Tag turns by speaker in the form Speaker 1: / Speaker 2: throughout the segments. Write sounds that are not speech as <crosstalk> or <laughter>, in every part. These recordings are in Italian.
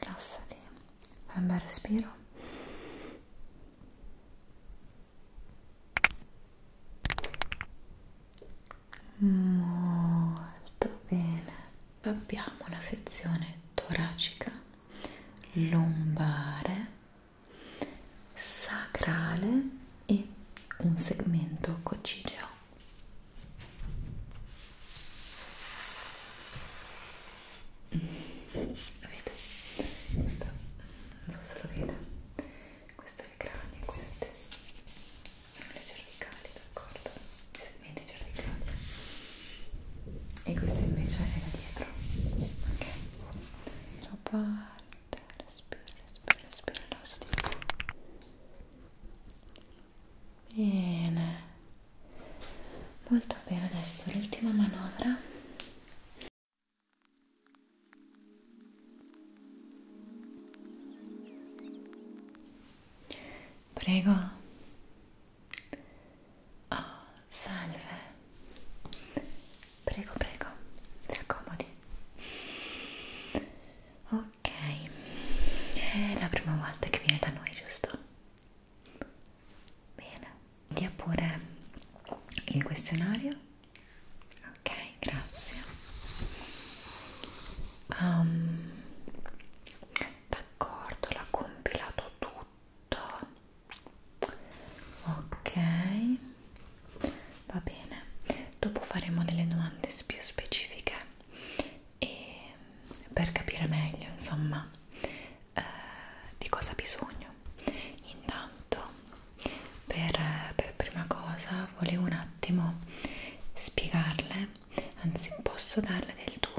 Speaker 1: rilassati fai un bel respiro molto bene abbiamo la sezione toracica lombare sacrale e un segmento coccigeo Avete? Questo, non so se lo vede, questo è il cranio, queste sono le cervicali, d'accordo? I segmenti cervicali. E questo invece è da dietro. Ok? Lo parte, respira, respira, respira, rilassati. Bene, molto bene adesso l'ultima manovra. Prego. Oh, salve. Prego, prego, si accomodi. Ok, è la prima volta che viene da noi, giusto? Bene, dia pure il questionario. Ok, grazie. Um, D'accordo, l'ha compilato tutto. Ok, va bene. Dopo faremo delle domande più specifiche e per capire meglio insomma eh, di cosa ha bisogno intanto per, per prima cosa volevo un attimo spiegarle anzi posso darle del tu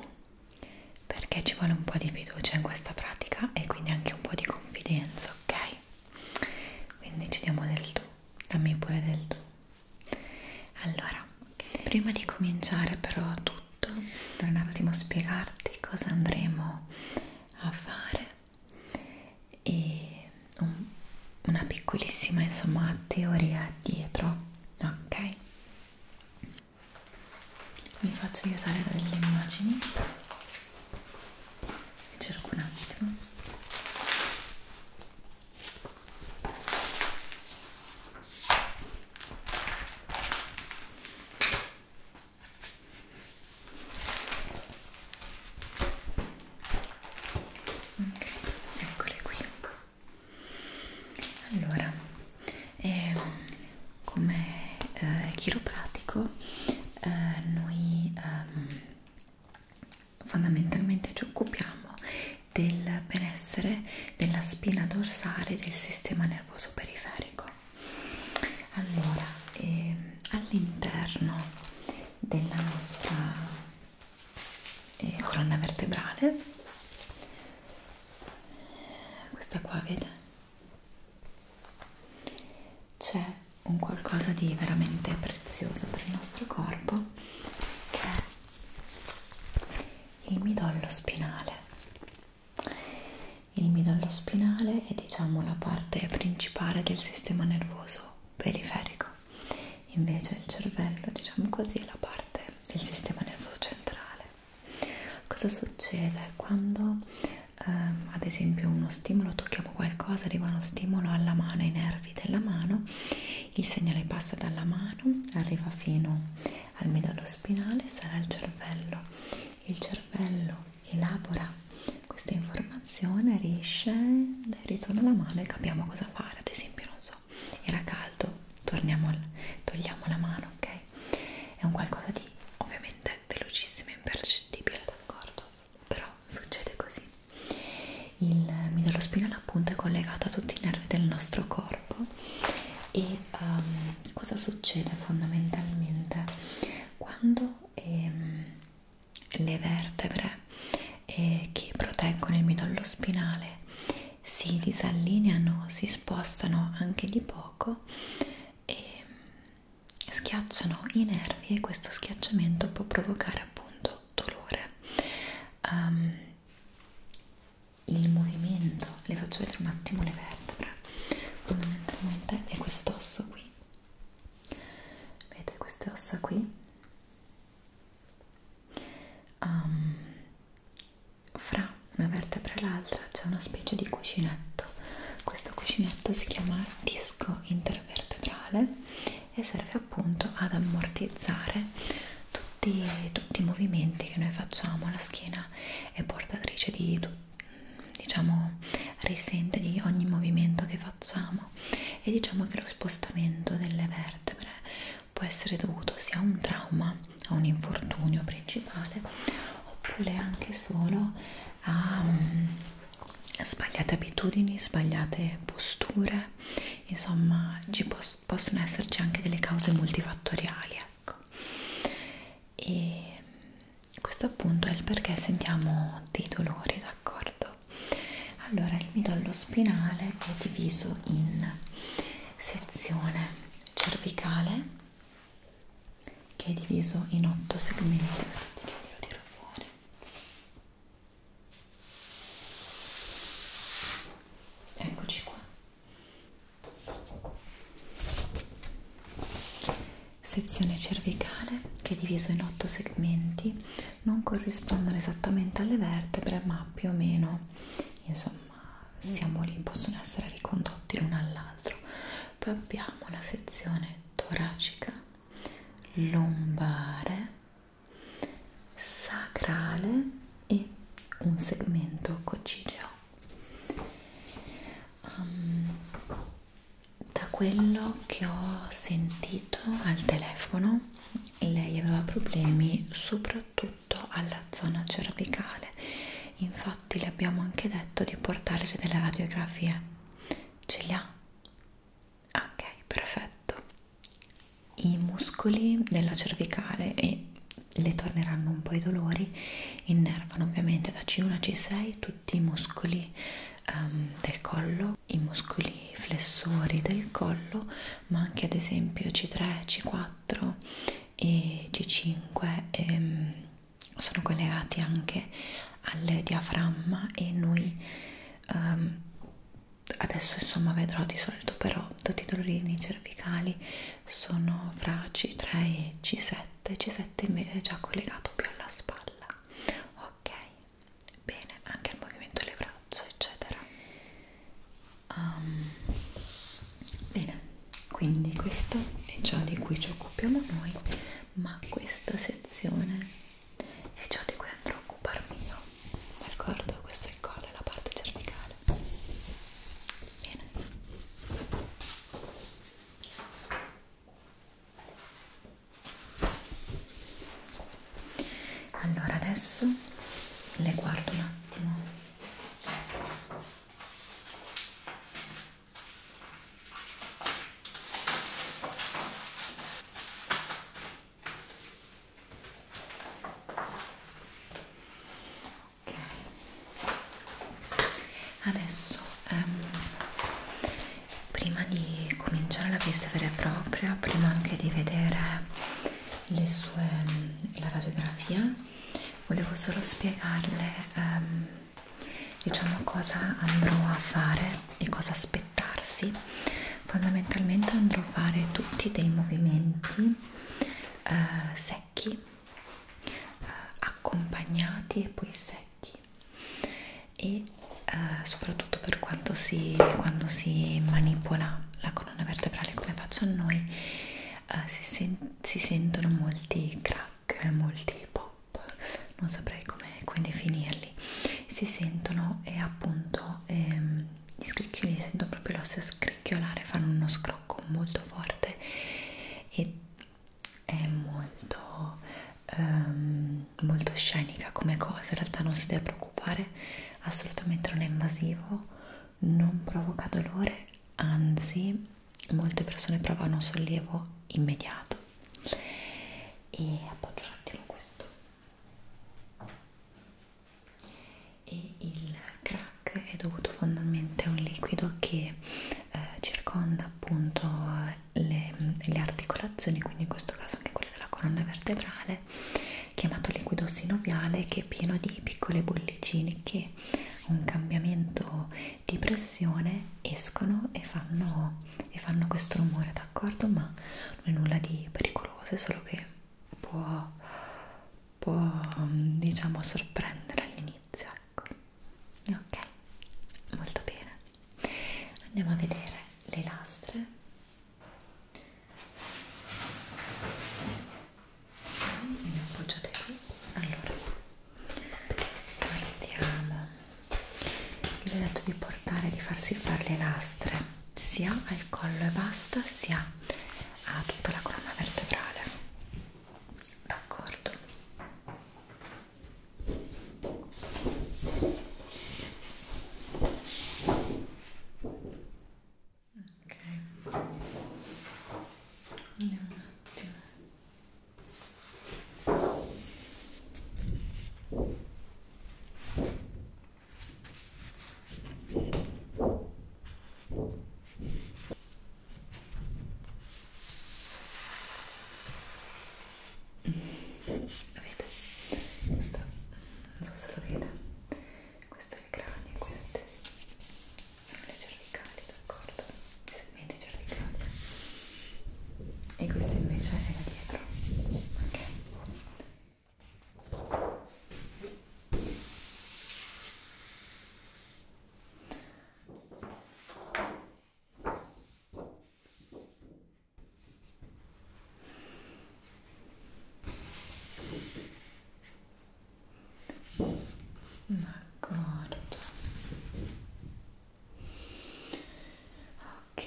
Speaker 1: perché ci vuole un po' di fiducia in questa pratica e quindi anche un po' di confidenza ok quindi ci diamo del tu dammi pure del tu allora Prima di cominciare però tutto, per un attimo spiegarti cosa andremo a fare e un, una piccolissima insomma teoria dietro, ok? Mi faccio aiutare da delle immagini cerco un attimo Ok, eccole qui. Allora, eh, come eh, chiropratico eh, noi ehm, fondamentalmente ci occupiamo del benessere della spina dorsale del sistema nervoso periferico. Allora, ehm, all'interno della nostra eh, colonna vertebrale, questa qua vede, c'è un qualcosa di veramente prezioso per il nostro corpo che è il midollo spinale. Il midollo spinale è diciamo la parte principale del sistema nervoso periferico, invece il cervello diciamo così è la parte del sistema nervoso centrale. Cosa succede quando ehm, ad esempio uno stimolo, tocchiamo qualcosa, arriva uno stimolo alla mano, ai nervi della mano, il segnale passa dalla mano, arriva fino al midollo spinale sarà il cervello. Il cervello elabora questa informazione, riesce, ritorna alla mano e capiamo cosa fare. Ad esempio, non so, era caldo, torniamo, togliamo la mano, ok? È un qualcosa di ovviamente velocissimo e impercettibile, d'accordo? Però succede così. Il midollo spinale appunto è collegato a tutti i nervi del nostro corpo corpo e um, cosa succede fondamentalmente quando ehm, le vertebre eh, che proteggono il midollo spinale si disallineano, si spostano anche di poco e ehm, schiacciano i nervi e questo schiacciamento può provocare appunto dolore. Um, il movimento, le faccio vedere un attimo le vertebre, fondamentalmente è quest'osso qui, vedete queste ossa qui um, fra una vertebra e l'altra c'è una specie di cuscinetto questo cuscinetto si chiama disco intervertebrale e serve appunto ad ammortizzare tutti, tutti i movimenti che noi facciamo la schiena è portatrice di diciamo risente di ogni movimento che facciamo e diciamo che lo spostamento delle vertebre può essere dovuto sia a un trauma a un infortunio principale oppure anche solo a um, sbagliate abitudini sbagliate posture insomma ci, possono esserci anche delle cause multifattoriali ecco e questo appunto è il perché sentiamo dei dolori d'accordo allora il midollo spinale è diviso in sezione cervicale che è diviso in otto segmenti che lo tiro fuori eccoci qua Sezione cervicale che è diviso in otto segmenti, non corrispondono esattamente alle vertebre, ma più o meno, insomma, siamo lì, possono essere ricondotti l'uno all'altro. Poi abbiamo la sezione toracica, lombare, sacrale e un segmento coccigeo um, da quello che ho sentito al telefono lei aveva problemi soprattutto alla zona cervicale infatti le abbiamo anche detto di portare delle radiografie ce le ha? ok perfetto i muscoli della cervicale e le torneranno un po' i dolori, innervano ovviamente da C1 a C6 tutti i muscoli um, del collo, i muscoli flessori del collo, ma anche ad esempio C3, C4 e C5 e, ehm, sono collegati anche al diaframma e noi um, adesso insomma vedrò di solito però tutti i dolorini cervicali sono fra C3 e C7 C7 invece è già collegato più alla spalla ok bene anche il movimento delle braccia eccetera um, bene quindi questo è ciò di cui ci occupiamo noi ma questa sezione è ciò di cui andrò a occuparmi io d'accordo questo è il collo e la parte cervicale Bene. Allora adesso le guardo un attimo ok adesso ehm, prima di cominciare la visita vera e propria prima anche di vedere le sue la radiografia volevo solo spiegarle ehm, diciamo cosa andrò a fare e cosa aspettarsi fondamentalmente andrò a fare tutti dei movimenti eh, secchi, eh, accompagnati e poi secchi e eh, soprattutto per quanto si, quando si manipola la colonna vertebrale come faccio a noi eh, si, sen si sentono molti crack, molti pop, non saprei come, come definirli, si sentono e appunto ehm, gli scricchioli, sento proprio l'ossa scricchiolare, fanno uno scrocco molto forte e è molto, um, molto scenica come cosa, in realtà non si deve preoccupare, assolutamente non è invasivo, non provoca dolore, anzi molte persone provano sollievo immediato e appoggio un attimo questo e il cranio crack è dovuto fondamentalmente a un liquido che eh, circonda appunto eh, le, le articolazioni, quindi in questo caso anche quelle della colonna vertebrale, chiamato liquido sinoviale che è pieno di piccole bollicine che un cambiamento di pressione escono e fanno, e fanno questo rumore, d'accordo? Ma non è nulla di pericoloso, è solo che può, può mm, diciamo sorprendere all'inizio sacco ok molto bene andiamo a vedere le lastre le appoggiate qui allora guardiamo vi ho detto di portare di farsi fare le lastre sia al collo e basta sia a tutta la colonna vertebrale d'accordo ok andiamo un attimo Vedete? Questo, non so se lo vede, questo è il cranio, queste sono le cervicali, d'accordo? I segmenti cervicali. E questo invece è da dietro. Ok? D'accordo. Ok,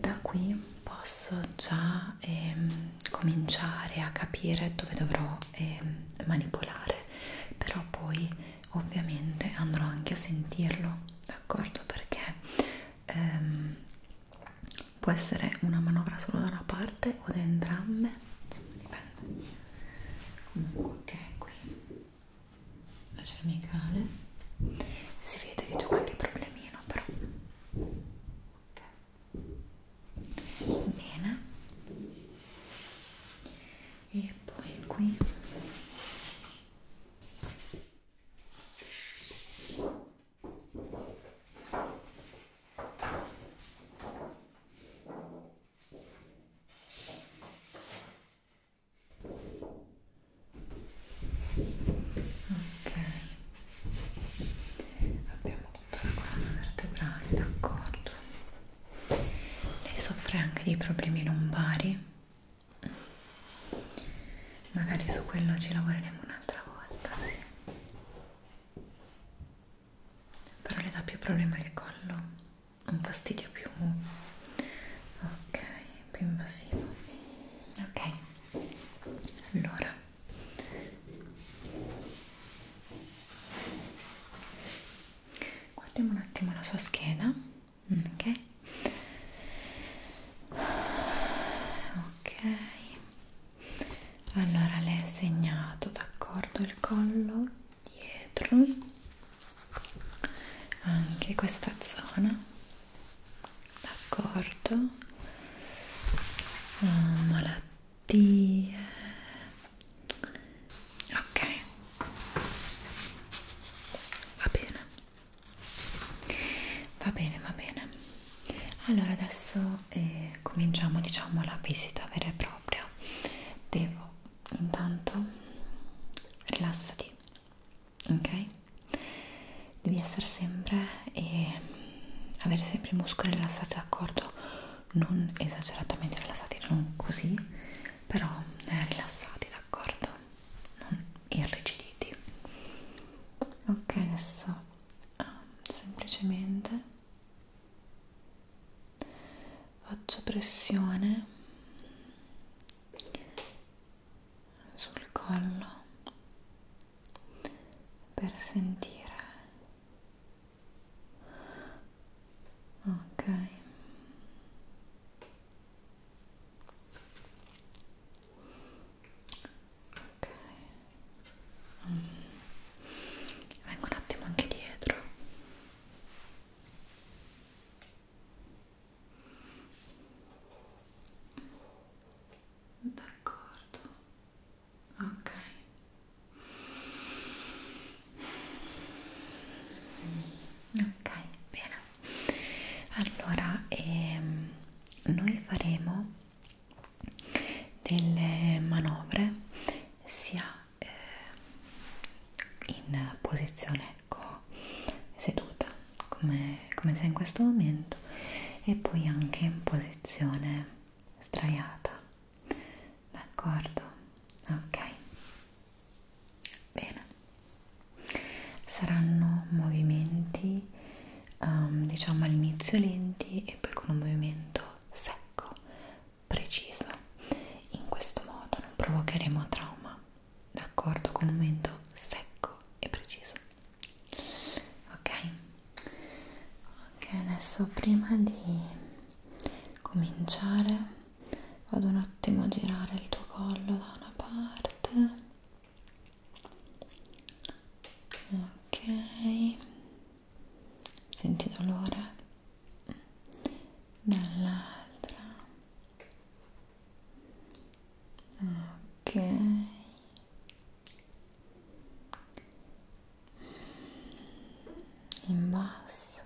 Speaker 1: da qui posso già ehm, cominciare a capire dove dovrò eh, manipolare però poi ovviamente andrò anche a sentirlo d'accordo perché ehm, può essere una manovra solo da una parte o da entrambe dipende comunque ok qui la cervicale si vede che c'è qualche problemino però okay. bene e poi qui Ok, abbiamo tutta la colonna vertebrale, d'accordo lei soffre anche di problemi lombari magari su quello ci lavoreremo un'altra volta sì. però le dà più problema il collo un fastidio più ok più invasivo ok allora guardiamo un attimo la sua schiena mm, ok ok allora le hai segnato d'accordo il collo dietro anche questa zona d'accordo oh, malattie ok va bene va bene va bene allora adesso eh, cominciamo diciamo la visita vera e propria devo intanto rilassati ok devi essere sempre e eh, avere sempre i muscoli rilassati d'accordo non esageratamente rilassati, non così, però eh, rilassati, d'accordo? Non irrigiditi. Ok, adesso ah, semplicemente faccio pressione sul collo per sentire ok ok mm. vengo un attimo anche dietro d'accordo ok ok bene allora ehm, noi faremo delle manovre sia eh, in posizione ecco seduta come, come se in questo momento e poi anche in posizione sdraiata d'accordo? Ok, bene. Saranno movimenti, um, diciamo all'inizio lenti e poi con un movimento secco, preciso. In questo modo non provocheremo trauma, d'accordo? Con un movimento secco e preciso. Ok, ok, adesso prima di cominciare vado un attimo a girare il tuo collo da una parte ok senti dolore dall'altra ok in basso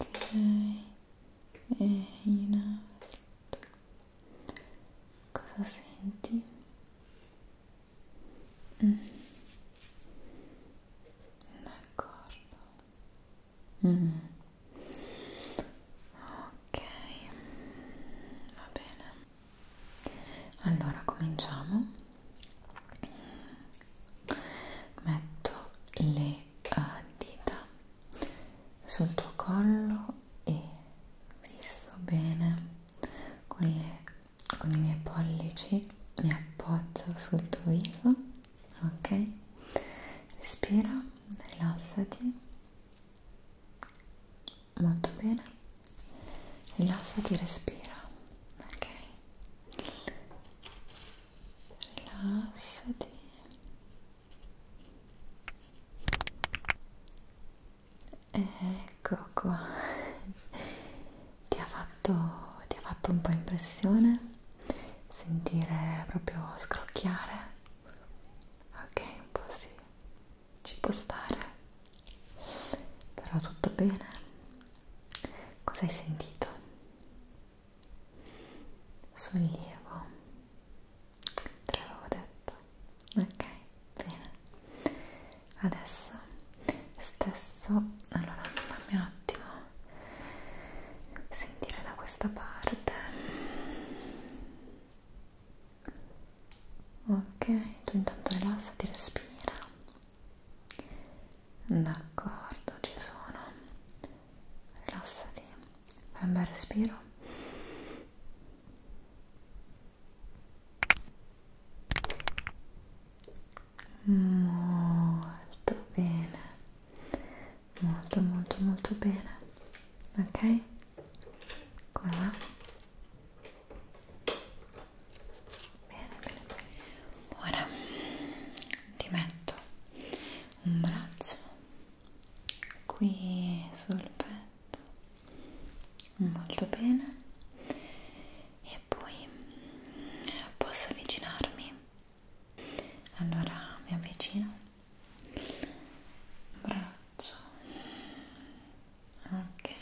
Speaker 1: ok e in alto cosa senti? Mm. d'accordo mm. ok va bene allora cominciamo metto le uh, dita sul tuo collo e fisso bene con, le, con i miei pollici mi appoggio sul tuo viso ok respira rilassati molto bene rilassati respira ok rilassati ecco qua ti ha fatto ti ha fatto un po' impressione sentire proprio scrocchiare ok un po' sì ci può stare però tutto bene Cosa hai sentito? Sollievo, te l'avevo detto. Ok, bene. Adesso stesso, allora fammi un attimo sentire da questa parte. Ok, tu intanto rilassati, respira d'accordo ci sono rilassati fai un bel respiro molto bene molto molto molto bene ok come va Bene, bene. Ora ti metto un braccio qui sul petto, molto bene, e poi posso avvicinarmi. Allora mi avvicino, braccio, ok,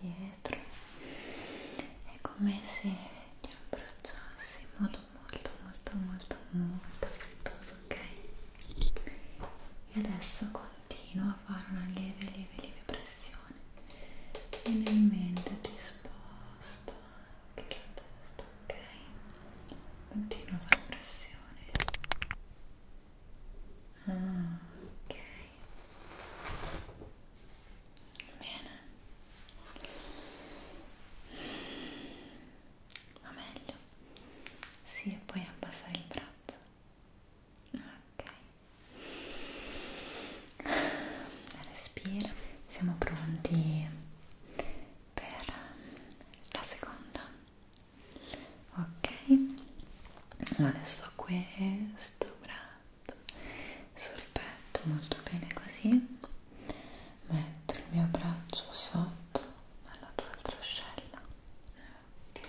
Speaker 1: dietro, è come se di abbracciarsi in modo molto molto molto molto affettuoso, ok? E adesso continua a fare una lieve lieve lieve pressione e nel mente ti sposto anche la testa, ok? Continua a fare pressione ah, ok Bene. Va meglio. Sì, e poi abbassare il braccio. Ok. Respira. Siamo pronti per la seconda. Ok. Adesso questo braccio esatto sul petto molto bene così metto il mio braccio sotto alla tua altra ascella ok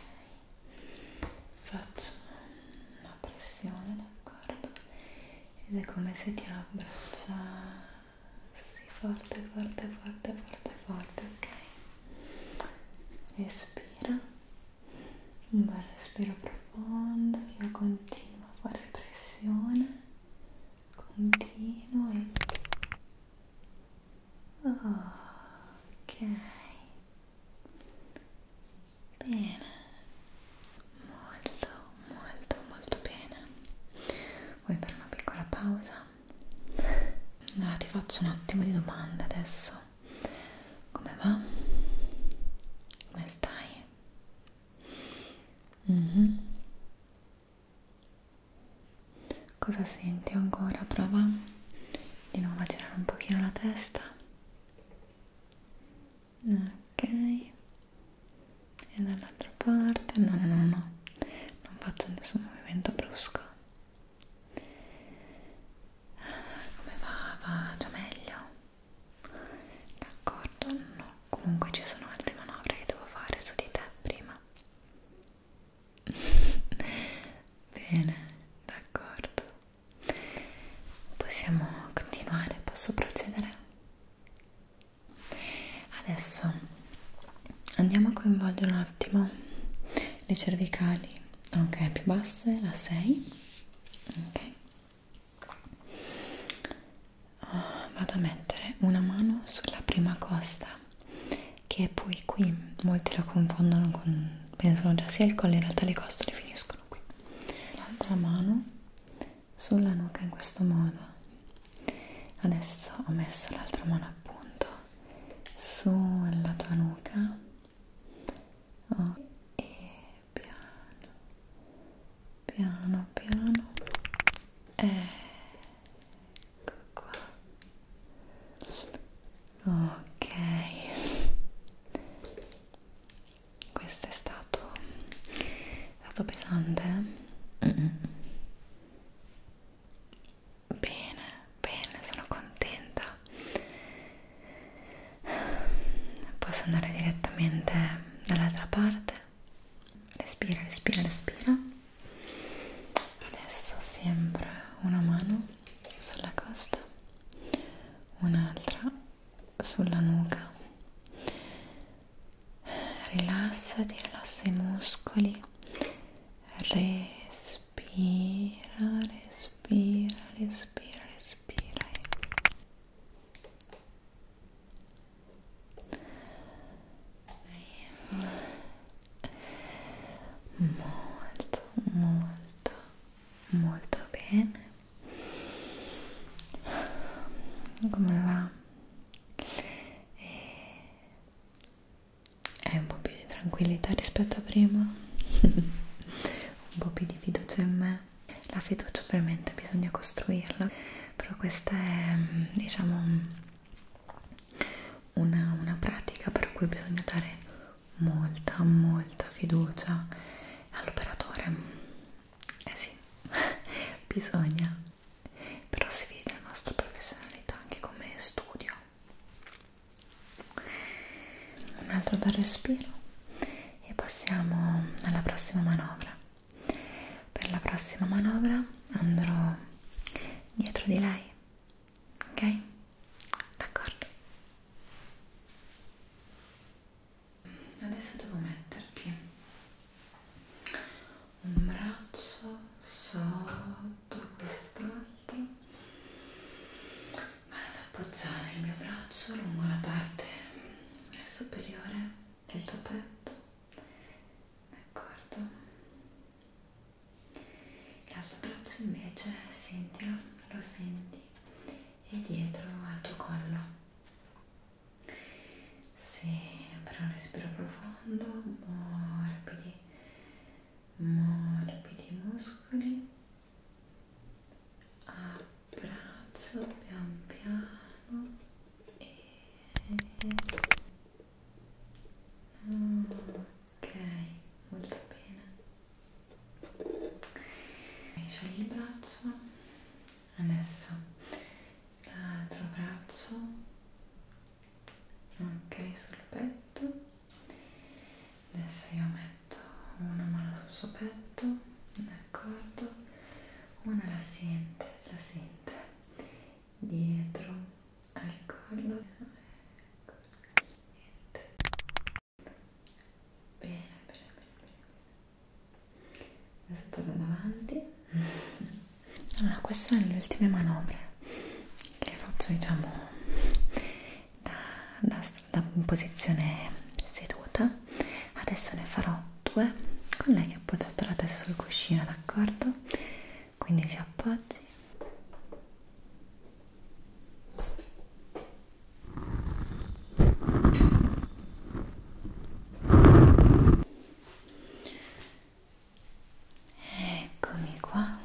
Speaker 1: faccio una pressione d'accordo ed è come se ti abbraccia sì, forte forte forte forte forte ok respira un bel respiro profondo io continuo a fare pressione continuo e ok bene molto molto molto bene vuoi fare una piccola pausa? allora ti faccio un attimo di domande adesso come va? come stai? Mm -hmm. Cosa senti ancora? Prova di nuovo a girare un pochino la testa. Ok. E dall'altra parte. No, no, no, no. Non faccio nessun movimento brusco. Ah, come va? Va già meglio d'accordo? no comunque ci sono altre manovre che devo fare su di te prima <laughs> bene, d'accordo possiamo continuare, posso procedere? adesso andiamo a coinvolgere un attimo le cervicali ok, più basse, la 6 ok uh, vado a mettere una mano sulla prima costa che poi qui molti la confondono con pensano già sia il collo in realtà le costole finiscono qui l'altra mano sulla nuca in questo modo adesso ho messo l'altra mano appunto sulla tua nuca oh, e piano piano piano ecco qua ok questo è stato è stato pesante mm -mm. bene bene sono contenta posso andare direttamente dall'altra parte respira respira respira adesso sempre una mano sulla costa un'altra sulla nuca rilassati rilassa i muscoli respira respira respira respira molto molto molto bene come va? Eh, hai un po' più di tranquillità rispetto a prima? <laughs> un po' più di fiducia in me? La fiducia ovviamente bisogna costruirla, però questa è diciamo una, una pratica per cui bisogna dare molta, molta fiducia all'operatore. Eh sì, <laughs> bisogna, però si vede la nostra professionalità anche come studio. Un altro bel respiro e passiamo alla prossima manovra per la prossima manovra andrò dietro di lei ok d'accordo adesso devo metterti un braccio sotto quest'altro vado ad appoggiare il mio braccio lungo la parte superiore del tuo petto d'accordo l'altro braccio invece sentilo lo senti e dietro al tuo collo sempre un respiro profondo morbidi morbidi muscoli apri braccio pian piano e ok molto bene scegli il braccio adesso l'altro braccio ok sul petto adesso io metto una mano sul suo petto d'accordo una la sente, la sente dietro al collo ecco, niente bene, bene, bene, bene adesso torno davanti allora queste sono le ultime manovre che faccio diciamo da, da, da posizione seduta adesso ne farò due con lei che ha appoggiato la testa sul cuscino d'accordo? quindi si appoggi Eccomi qua.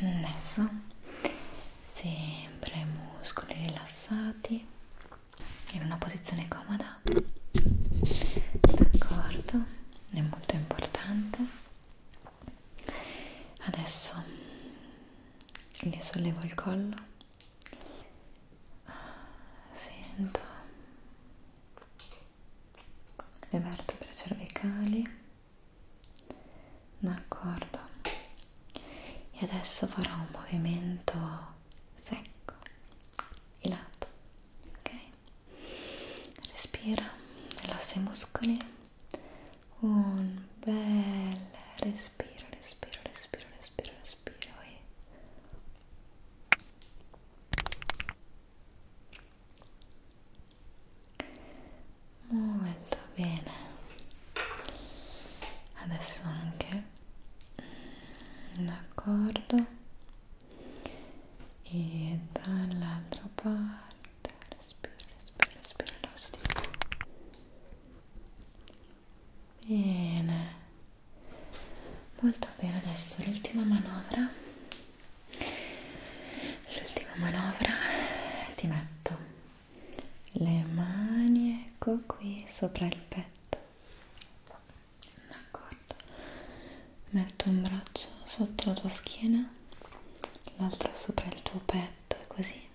Speaker 1: Adesso sempre muscoli rilassati in una posizione comoda d'accordo è molto importante adesso le sollevo il collo sento le vertebre cervicali d'accordo e adesso farò un movimento secco e lato ok respira rilassa i muscoli un bel respiro respiro respiro respiro respiro e molto bene adesso anche d'accordo e dall'altra parte respira respira respira rilassati bene molto bene adesso l'ultima manovra l'ultima manovra ti metto le mani ecco qui sopra il petto d'accordo metto un braccio sotto la tua schiena l'altro sopra il tuo petto così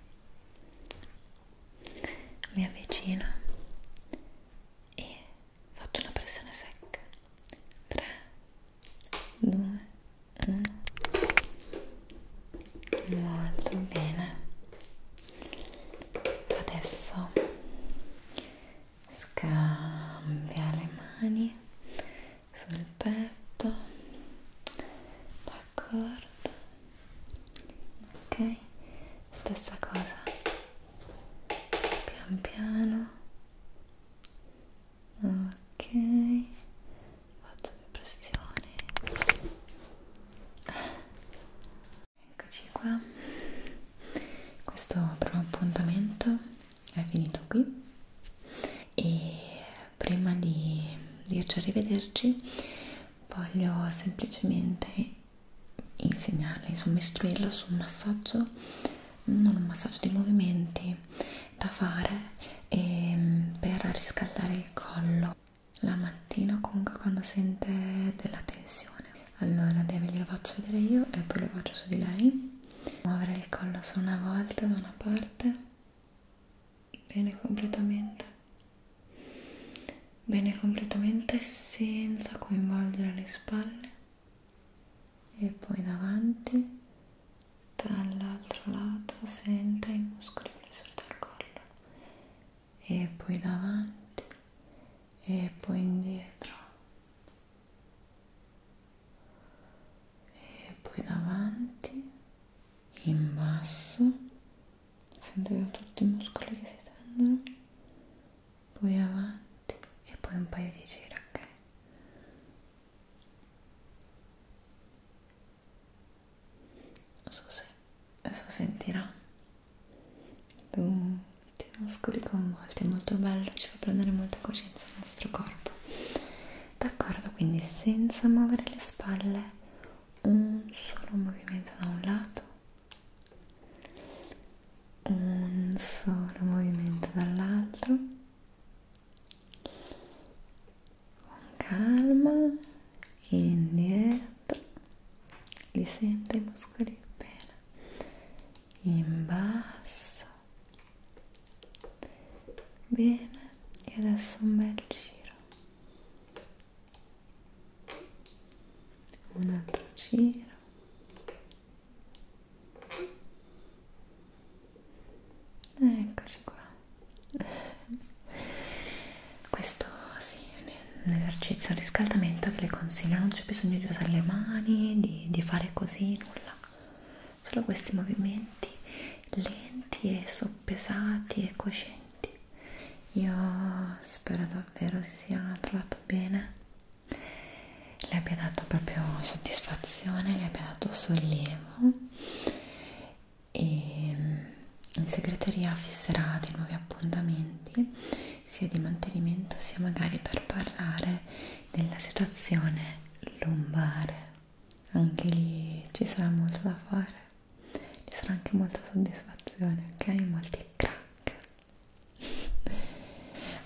Speaker 1: mi avvicino e faccio una pressione secca 3 2 1 molto bene adesso scambia le mani sul petto d'accordo ok stessa cosa pian piano ok faccio più pressione Eccoci qua, questo primo appuntamento è finito qui e prima di dirci arrivederci voglio semplicemente insegnarla, insomma istruirla su un massaggio, non un massaggio di movimenti da fare ehm, per riscaldare il collo la mattina comunque quando sente della tensione allora deve glielo faccio vedere io e poi lo faccio su di lei muovere il collo solo una volta da una parte bene completamente bene completamente senza coinvolgere le spalle e poi davanti dall'altro lato senta i muscoli pressori del collo e poi davanti e poi indietro e poi davanti in basso sento che ho tutti i muscoli che si tendono poi avanti e poi un paio di giri ok non so se adesso sentirà dei muscoli coinvolti, molto bello, ci fa prendere molta coscienza del nostro corpo. D'accordo, quindi senza muovere le spalle, un solo movimento da un lato, un solo movimento dall'altro, con calma, indietro sotto li sente i muscoli bene in basso bene e adesso un bel giro un altro giro Eccoci qua. <laughs> Questo sì, ne un esercizio di riscaldamento che le consiglio non c'è bisogno di usare le mani di, di fare così nulla solo questi movimenti lenti e soppesati e coscienti io spero davvero sia trovato bene le abbia dato proprio soddisfazione le abbia dato sollievo e mm, in segreteria fisserà dei nuovi appuntamenti sia di mantenimento sia magari per parlare della situazione lombare anche lì ci sarà molto da fare ci sarà anche molta soddisfazione ok molti crack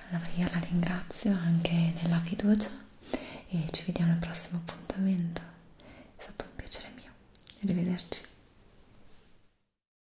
Speaker 1: allora io la ringrazio anche della fiducia e ci vediamo al prossimo appuntamento è stato un piacere mio arrivederci